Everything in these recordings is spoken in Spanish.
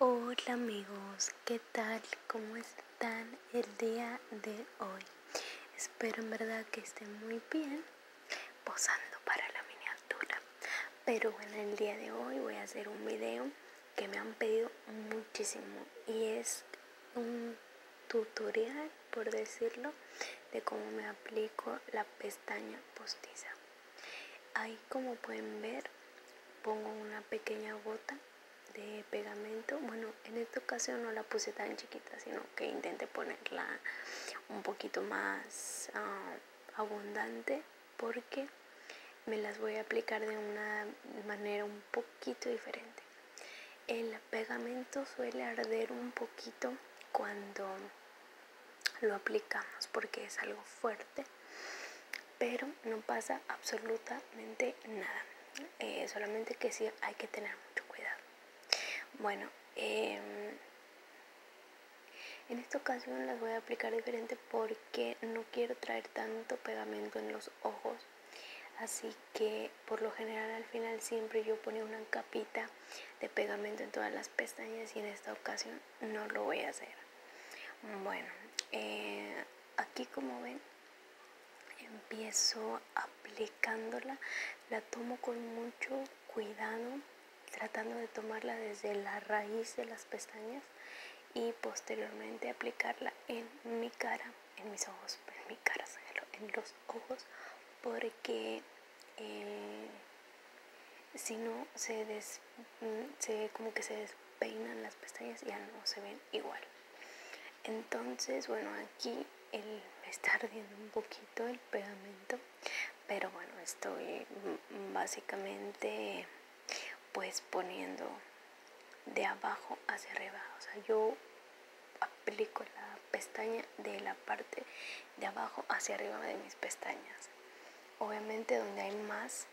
Hola amigos, ¿qué tal? ¿Cómo están el día de hoy? Espero en verdad que estén muy bien posando para la miniatura. Pero bueno, el día de hoy voy a hacer un video que me han pedido muchísimo y es un tutorial, por decirlo, de cómo me aplico la pestaña postiza. Ahí como pueden ver pongo una pequeña gota de pegamento. Bueno, en esta ocasión no la puse tan chiquita, sino que intenté ponerla un poquito más ah, abundante porque me las voy a aplicar de una manera un poquito diferente. El pegamento suele arder un poquito cuando lo aplicamos porque es algo fuerte, pero no pasa absolutamente nada. Eh, solamente que si hay que tener mucho cuidado. Bueno, em, en esta ocasión las voy a aplicar diferente porque no quiero traer tanto pegamento en los ojos. Así que por lo general al final siempre yo ponía una capita de pegamento en todas las pestañas y en esta ocasión no lo voy a hacer. Bueno, eh, aquí como ven, empiezo aplicándola, la tomo con mucho cuidado, tratando de tomarla desde la raíz de las pestañas y posteriormente aplicarla en mi cara, en mis ojos, en mi cara, en los ojos, porque eh, si no se, mm, se como que se despeinan las pestañas ya no se ven igual entonces bueno aquí el, me está ardiendo un poquito el pegamento pero bueno estoy mm, básicamente pues poniendo de abajo hacia arriba o sea yo aplico la pestaña de la parte de abajo hacia arriba de mis pestañas. Obviamente donde hay más,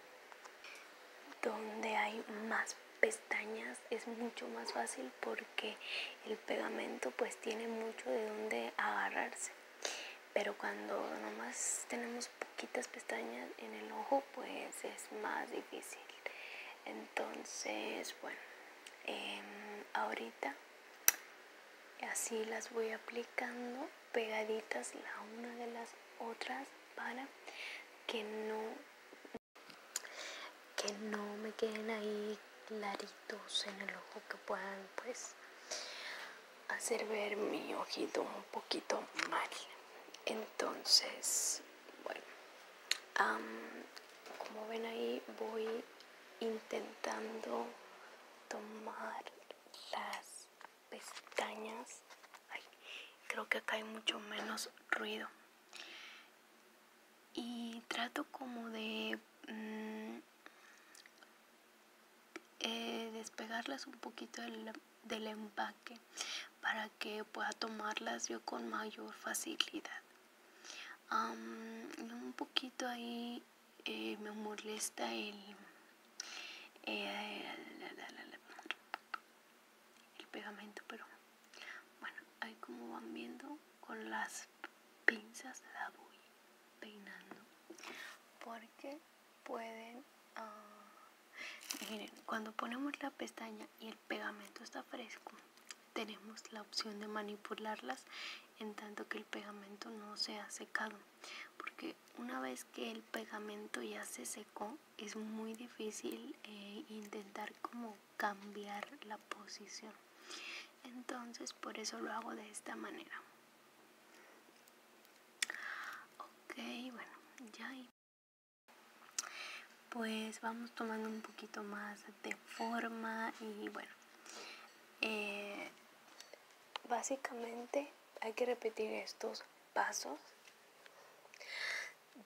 donde hay más pestañas es mucho más fácil porque el pegamento pues tiene mucho de donde agarrarse. Pero cuando nomás tenemos poquitas pestañas en el ojo pues es más difícil. Entonces, bueno, em, ahorita y así las voy aplicando pegaditas la una de las otras para que no que no me queden ahí claritos en el ojo que puedan pues hacer ver mi ojito un poquito mal entonces bueno como ven ahí voy intentando tomar las pestañas. creo que acá hay mucho menos ruido. Y trato como de mm, eh, despegarlas un poquito del, del empaque para que pueda tomarlas yo con mayor facilidad un poquito ahí eh, me molesta el, el pegamento, pero bueno, ahí como van viendo con las pinzas la voy peinando porque pueden ah, miren cuando ponemos la pestaña y el pegamento está fresco tenemos la opción de manipularlas en tanto que el pegamento no se ha secado porque una vez que el pegamento ya se secó es muy difícil eh, intentar como cambiar la posición entonces por eso lo hago de esta manera ok bueno ya pues vamos tomando un poquito más de forma y bueno eh, básicamente hay que repetir estos pasos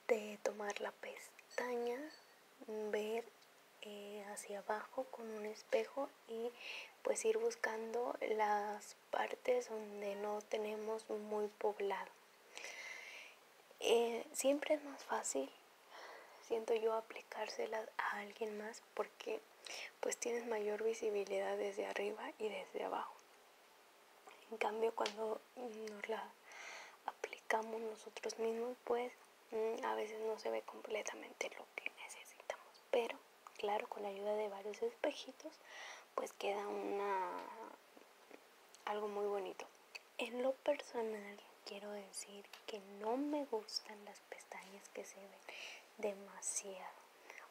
de tomar la pestaña ver eh, hacia abajo con un espejo y pues ir buscando las partes donde no tenemos muy poblado eh, siempre es más fácil, siento yo, aplicárselas a alguien más porque pues tienes mayor visibilidad desde arriba y desde abajo. En cambio, cuando nos la aplicamos nosotros mismos, pues mm, a veces no se ve completamente lo que necesitamos. Pero, claro, con la ayuda de varios espejitos, pues queda una algo muy bonito. En lo personal quiero decir que no me gustan las pestañas que se ven demasiado.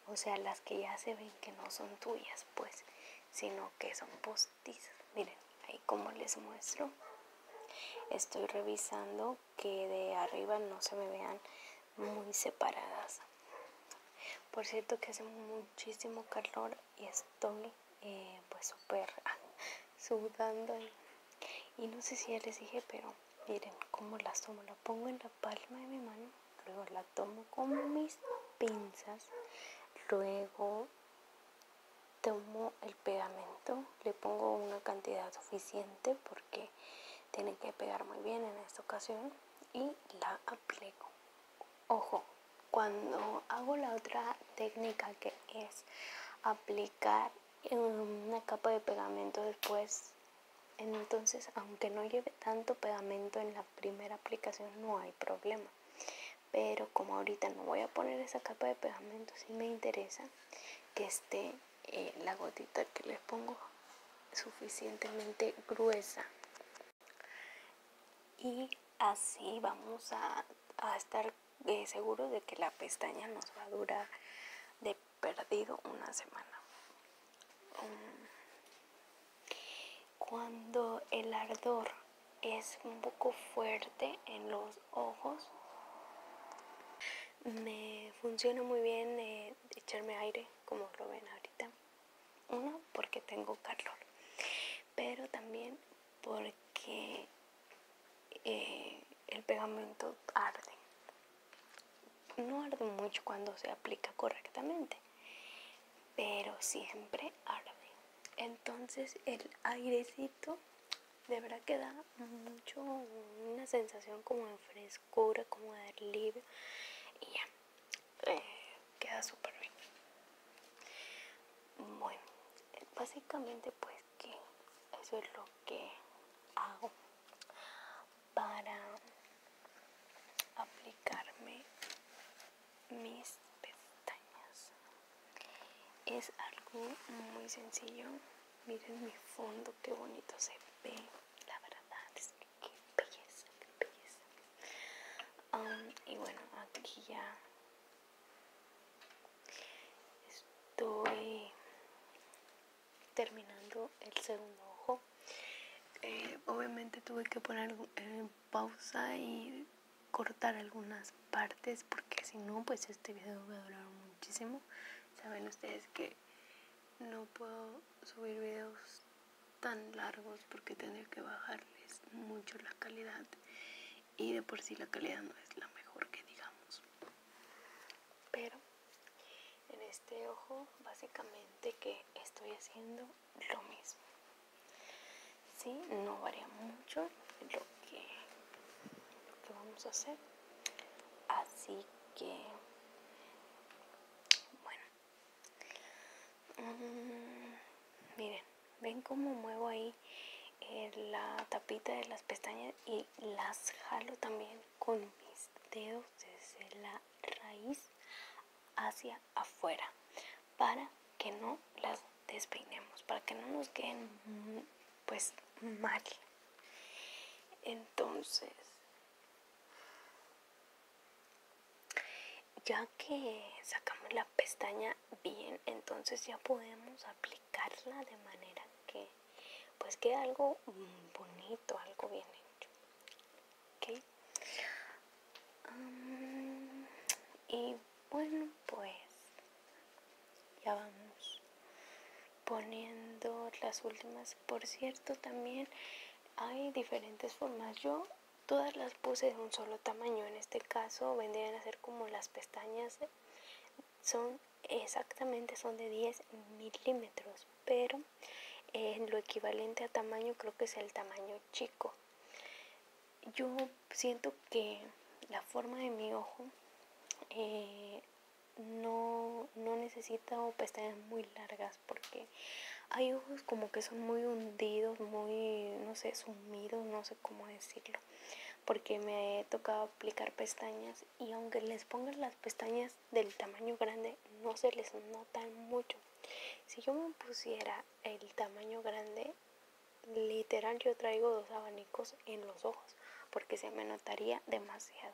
O sea, las que ya se ven que no son tuyas, pues, sino que son postizas. Miren, ahí como les muestro, estoy revisando que de arriba no se me vean muy separadas. Por cierto que hace muchísimo calor y estoy eh, pues súper sudando y no sé si ya les dije pero miren cómo las tomo la pongo en la palma de mi mano luego la tomo con mis pinzas luego tomo el pegamento le pongo una cantidad suficiente porque tiene que pegar muy bien en esta ocasión y la aplico Ojo, cuando hago la otra técnica que es aplicar em, una capa de pegamento después, entonces aunque no lleve tanto pegamento en la primera aplicación no hay problema. Pero como ahorita no voy a poner esa capa de pegamento, si sí me interesa que esté eh, la gotita que les pongo suficientemente gruesa y así vamos a, estar eh, seguros de que la pestaña nos va a durar de perdido una semana. Um, cuando el ardor es un poco fuerte en los ojos, me funciona muy bien eh, echarme aire, como lo ven ahorita. Uno, porque tengo calor, pero también porque eh, el pegamento arde. No arde mucho cuando se aplica correctamente, pero siempre arde. Entonces el airecito de verdad mucho una sensación como fresco como de libre Y ya, eh, queda súper bien. Bueno, básicamente pues que eso es lo que hago para aplicarme mis pestañas. Es algo muy sencillo. Miren mi fondo, qué bonito se ve. La verdad qué belleza, qué belleza. Um, y bueno, aquí ya estoy terminando el segundo ojo. Eh, obviamente tuve que poner en eh, pausa y cortar algunas partes porque si no, pues este video va a durar muchísimo. Saben ustedes que no puedo subir videos tan largos porque tendría que bajarles mucho la calidad y de por sí la calidad no es la mejor que digamos pero en este ojo básicamente que estoy haciendo lo mismo si no varía mucho lo que vamos a hacer así que bueno mm, miren ven cómo muevo ahí eh, la tapita de las pestañas y las jalo también con mis dedos desde la raíz hacia afuera para que no las despeinemos para que no nos queden pues mal. Entonces, ya que sacamos la pestaña bien, entonces ya podemos aplicarla de manera que pues quede algo mm, bonito, algo bien hecho. ¿Okay? y bueno, pues ya vamos poniendo las últimas por cierto también hay diferentes formas yo todas las puse de un solo tamaño en este caso vendrían a ser como las pestañas son exactamente son de 10 milímetros pero en eh, lo equivalente a tamaño creo que es el tamaño chico yo siento que la forma de mi ojo eh, no, no necesita pestañas muy largas porque hay ojos como que son muy hundidos, muy, no sé, sumidos, no sé cómo decirlo. Porque me he tocado aplicar pestañas y aunque les pongan las pestañas del tamaño grande, no se les notan mucho. Si yo me pusiera el tamaño grande, literal yo traigo dos abanicos en los ojos porque se me notaría demasiado.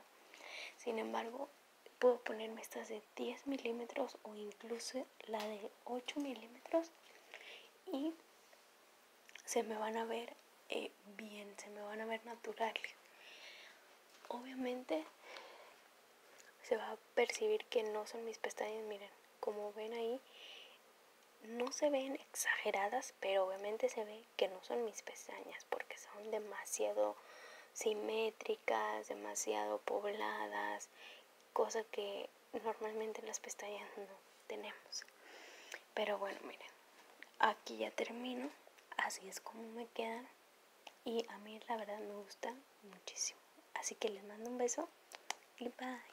Sin embargo, puedo ponerme estas de 10 milímetros o incluso la de 8 milímetros y se me van a ver eh, bien, se me van a ver naturales. Obviamente se va a percibir que no son mis pestañas, miren, como ven ahí, no se ven exageradas, pero obviamente se ve que no son mis pestañas porque son demasiado simétricas, demasiado pobladas, cosa que normalmente las pestañas no tenemos. Pero bueno, miren, aquí ya termino, así es como me quedan y a mí la verdad me gusta muchísimo. Así que les mando un beso y bye.